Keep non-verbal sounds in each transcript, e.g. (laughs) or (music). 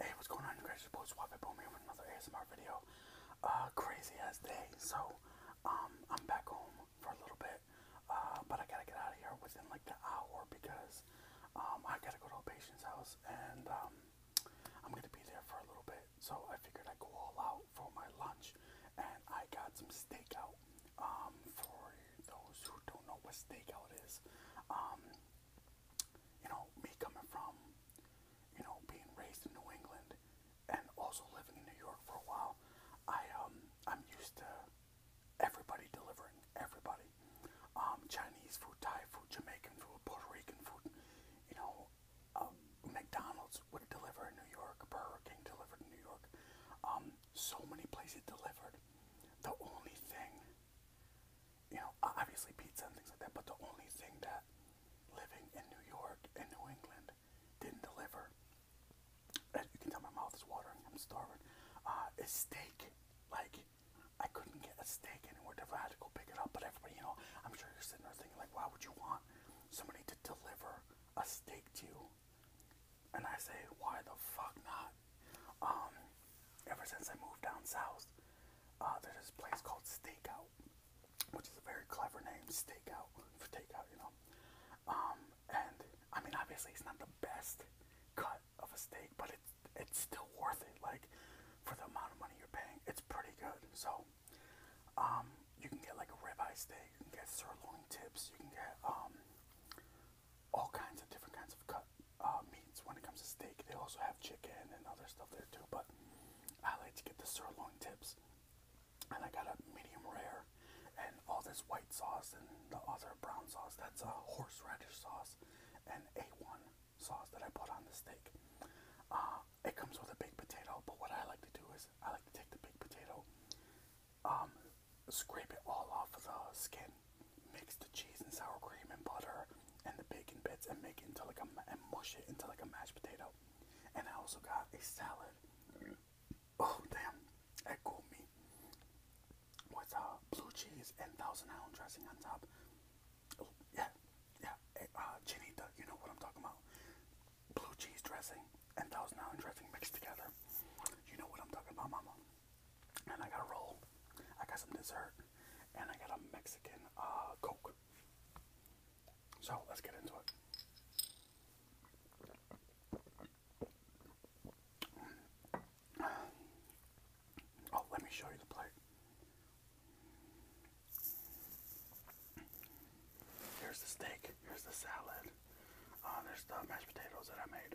Hey, what's going on, you It's your boy with another ASMR video. Uh, crazy as day. So, um, I'm back home for a little bit, uh, but I gotta get out of here within like the hour because, um, I gotta go to a patient's house and, um, I'm gonna be there for a little bit. So, I figured I'd go all out for my lunch and I got some steak out. for those who don't know what steak out is, you know, me coming from, you know, being raised in New England and also living in New York for a while, I um I'm used to everybody delivering everybody. Um, Chinese food, Thai food, Jamaican food, Puerto Rican food, you know, um, McDonald's would deliver in New York, Burger King delivered in New York. Um, so many places delivered. The only thing you know, obviously pizza and things like that, but the only thing that living in New York and New England didn't deliver, as you can tell my mouth is watering, I'm starving, uh, is steak. Like, I couldn't get a steak anywhere different. I had to go pick it up, but everybody, you know, I'm sure you're sitting there thinking, like, why would you want somebody to deliver a steak to you? And I say, why the fuck not? Um, ever since I moved down south, uh, there's this place called Stakeout, which is a very clever name, Stakeout for takeout, you know. Um, and I mean, obviously, it's not the best cut of a steak, but it's it's still worth it. Like for the amount of money you're paying, it's pretty good. So, um, you can get like a ribeye steak, you can get sirloin tips, you can get um all kinds of different kinds of cut got uh, meats when it comes to steak. They also have chicken and other stuff there too, but I like to get the sirloin tips. And I got a medium rare, and all this white sauce and the other brown sauce. That's a horseradish sauce and A1 sauce that I put on the steak. Uh, it comes with a baked potato, but what I like to do is I like to take the baked potato, um, scrape it all off of the skin, mix the cheese and sour cream and butter and the bacon bits and make it into like a and mush it into like a mashed potato. And I also got a salad. Oh damn, that cooled me. With uh, blue cheese and Thousand Island dressing on top. Oh yeah, yeah. Uh, Chinita, you know what I'm talking about. Blue cheese dressing and Thousand Island dressing mixed together. You know what I'm talking about, Mama and I got a roll. I got some dessert, and I got a Mexican uh, Coke. So let's get into it. Oh, let me show you the plate. Here's the steak. Here's the salad. Uh, there's the mashed potatoes that I made.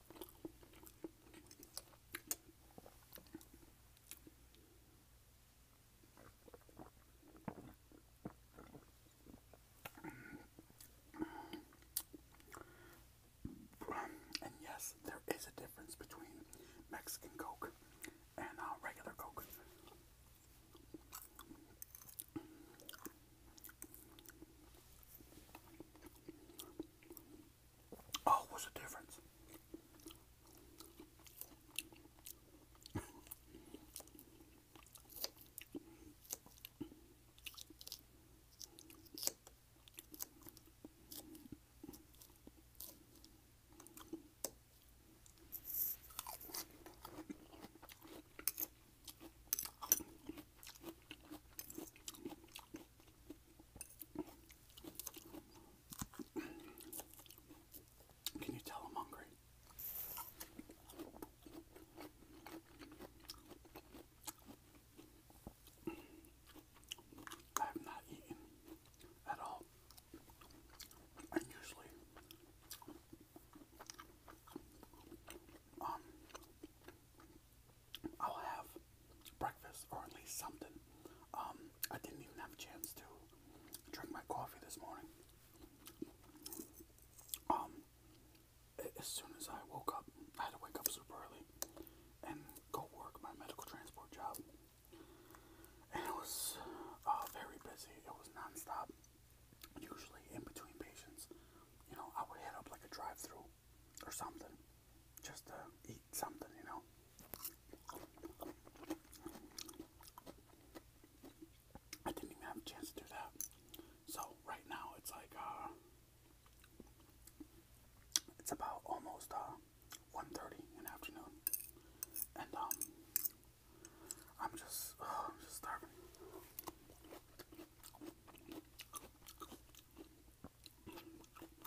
And yes, there is a difference between Mexican Coke and uh, regular Coke. Oh, what's the difference? Can you tell I'm hungry? I have not eaten at all. And usually, um, I'll have breakfast or at least something. Um, I didn't even have a chance to drink my coffee this morning. Um, as soon as I woke up, I had to wake up super early and go work my medical transport job. And it was uh, very busy. It was nonstop. Usually in between patients, you know, I would head up like a drive-through or something. Just to eat something, you know. I didn't even have a chance to do that. So right now it's like uh, it's about almost uh in the afternoon. And um, I'm just (sighs) I'm just starving.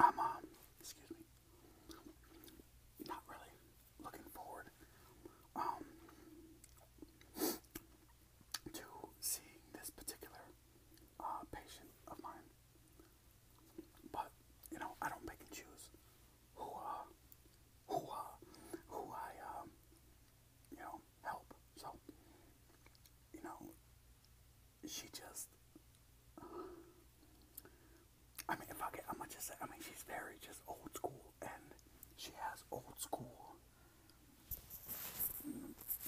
I'm, um, not really looking forward um, to seeing this particular uh, patient of mine. But you know, I don't pick and choose who uh who uh who I um you know help. So you know she just I mean if I get I'm just I mean she's very just old school and she has old school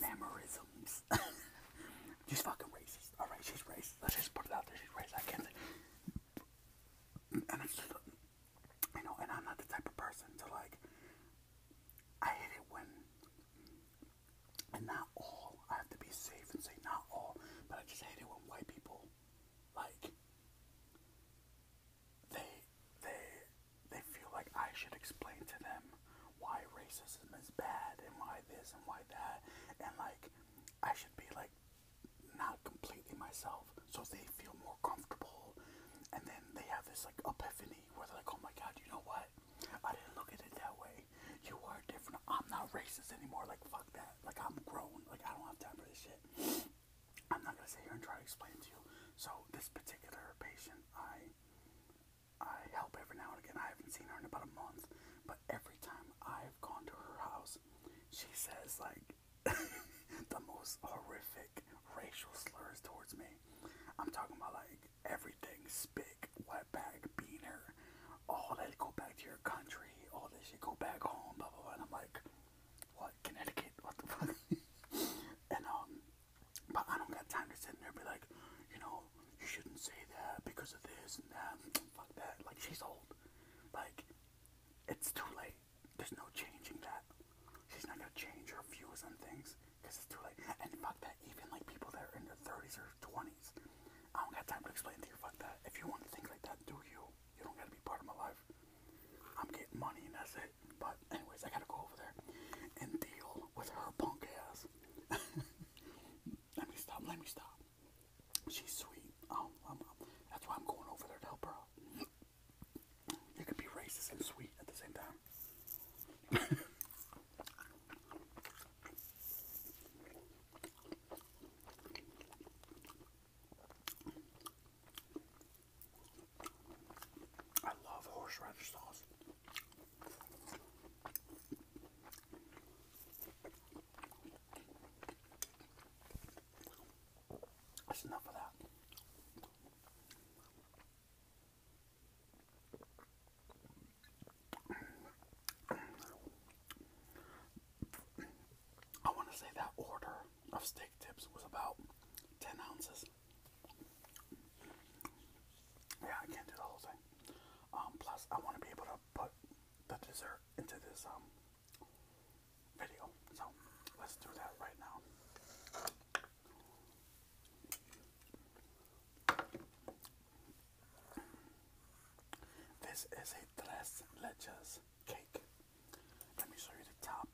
memorisms mm, (laughs) she's fucking racist. All right, she's racist. Let's just put it out there. She's racist. I can't. And know, and I'm not the type of person to like. I hate it when, and not all. I have to be safe and say not all, but I just hate it when white people, like, they, they, they feel like I should explain to them why racism is bad and why this and why that and like I should be like not completely myself so they feel more comfortable and then they have this like epiphany where they're like, Oh my god, you know what? I didn't look at it that way. You are different. I'm not racist anymore. Like fuck that. Like I'm grown. Like I don't have time for this shit. I'm not gonna sit here and try to explain to you. So this particular patient I I help every now and again. I haven't seen her in about a month, but every time I've gone to her house, she says like (laughs) the most horrific racial slurs towards me. I'm talking about like everything, spick, wetback, beaner, all that go back to your country, all this should go back home, blah blah blah. And I'm like, what, Connecticut? What the fuck? (laughs) and um, but I don't got time to sit in there and be like, you know, oh, you shouldn't say that because of this and that. (tsk) Fuck that. Like, she's old. Like, it's too late. There's no changing that. She's not gonna change her views on things because it's too late. And fuck that. Even like people that are in their 30s or 20s, I don't got time to explain to you. Fuck that. If you want to think like that, do you? You don't gotta be part of my life. I'm getting money and that's it. But anyways, I gotta go over there and deal with her punk ass. (laughs) Let me stop. Let me stop. She's sweet. Um, that's why I'm going over there to help her out. (clears throat) You could be racist and sweet at the same time. (laughs) I love horseradish sauce. That's enough of that. I want to say that order of steak tips was about 10 ounces. Yeah, I can't do the whole thing. Um, plus, I want to be able to put the dessert into this um, video. So, let's do that right now. This is a tres cake. Let me show you the top.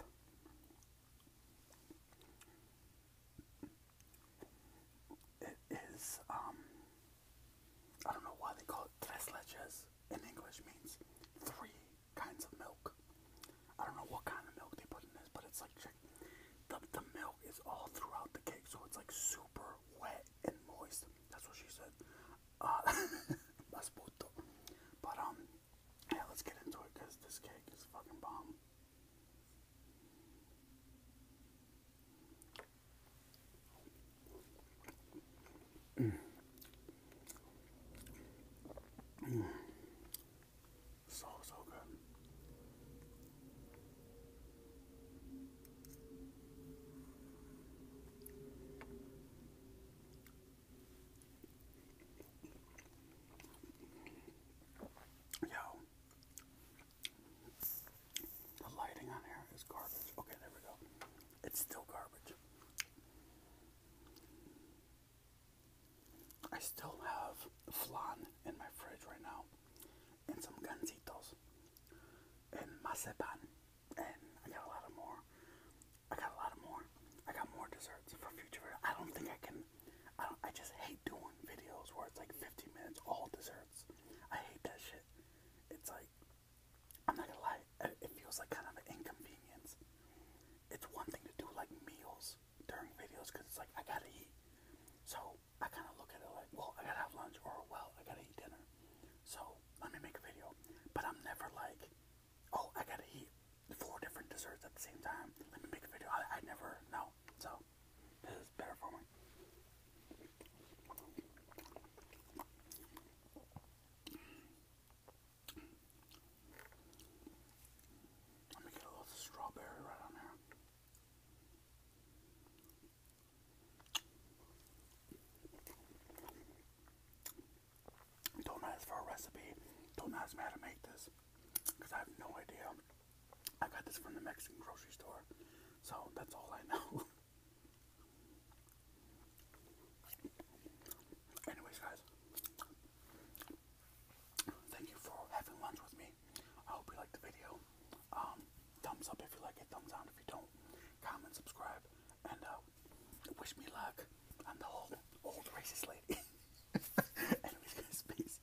It is, um, I don't know why they call it tres leches. In English means three kinds of milk. I don't know what kind of milk they put in this, but it's like the the milk is all throughout the cake, so it's like super wet and moist. That's what she said. Uh, (laughs) but um, yeah, let's get into it because this cake is fucking bomb so, so good. Yo, the lighting on here is garbage. Okay, there we go. It's still garbage. I still have flan in my fridge right now, and some gansitos, and masepan, and I got a lot of more. I got a lot of more. I got more desserts for future. I don't think I can. I don't. I just hate doing videos where it's like 50 minutes all desserts. I hate that shit. It's like, I'm not gonna lie, it feels like kind of an inconvenience. It's one thing to do like meals during videos because it's like, I gotta eat. So I kind of look at it like, well, I gotta have lunch or, well, I gotta eat dinner. So let me make a video. But I'm never like, oh, I gotta eat four different desserts at the same time. Let me make a video. I, I never know. So so this is better for me. Let me get a little strawberry right on there. Don't ask for a recipe. Don't ask me how to make this. Because I have no idea. I got this from the Mexican grocery store, so that's all I know. (laughs) Anyways, guys, thank you for having lunch with me. I hope you liked the video. Um, thumbs up if you like it, thumbs down if you don't. Comment, subscribe, and uh, wish me luck on the whole old racist lady. (laughs) Anyways, peace.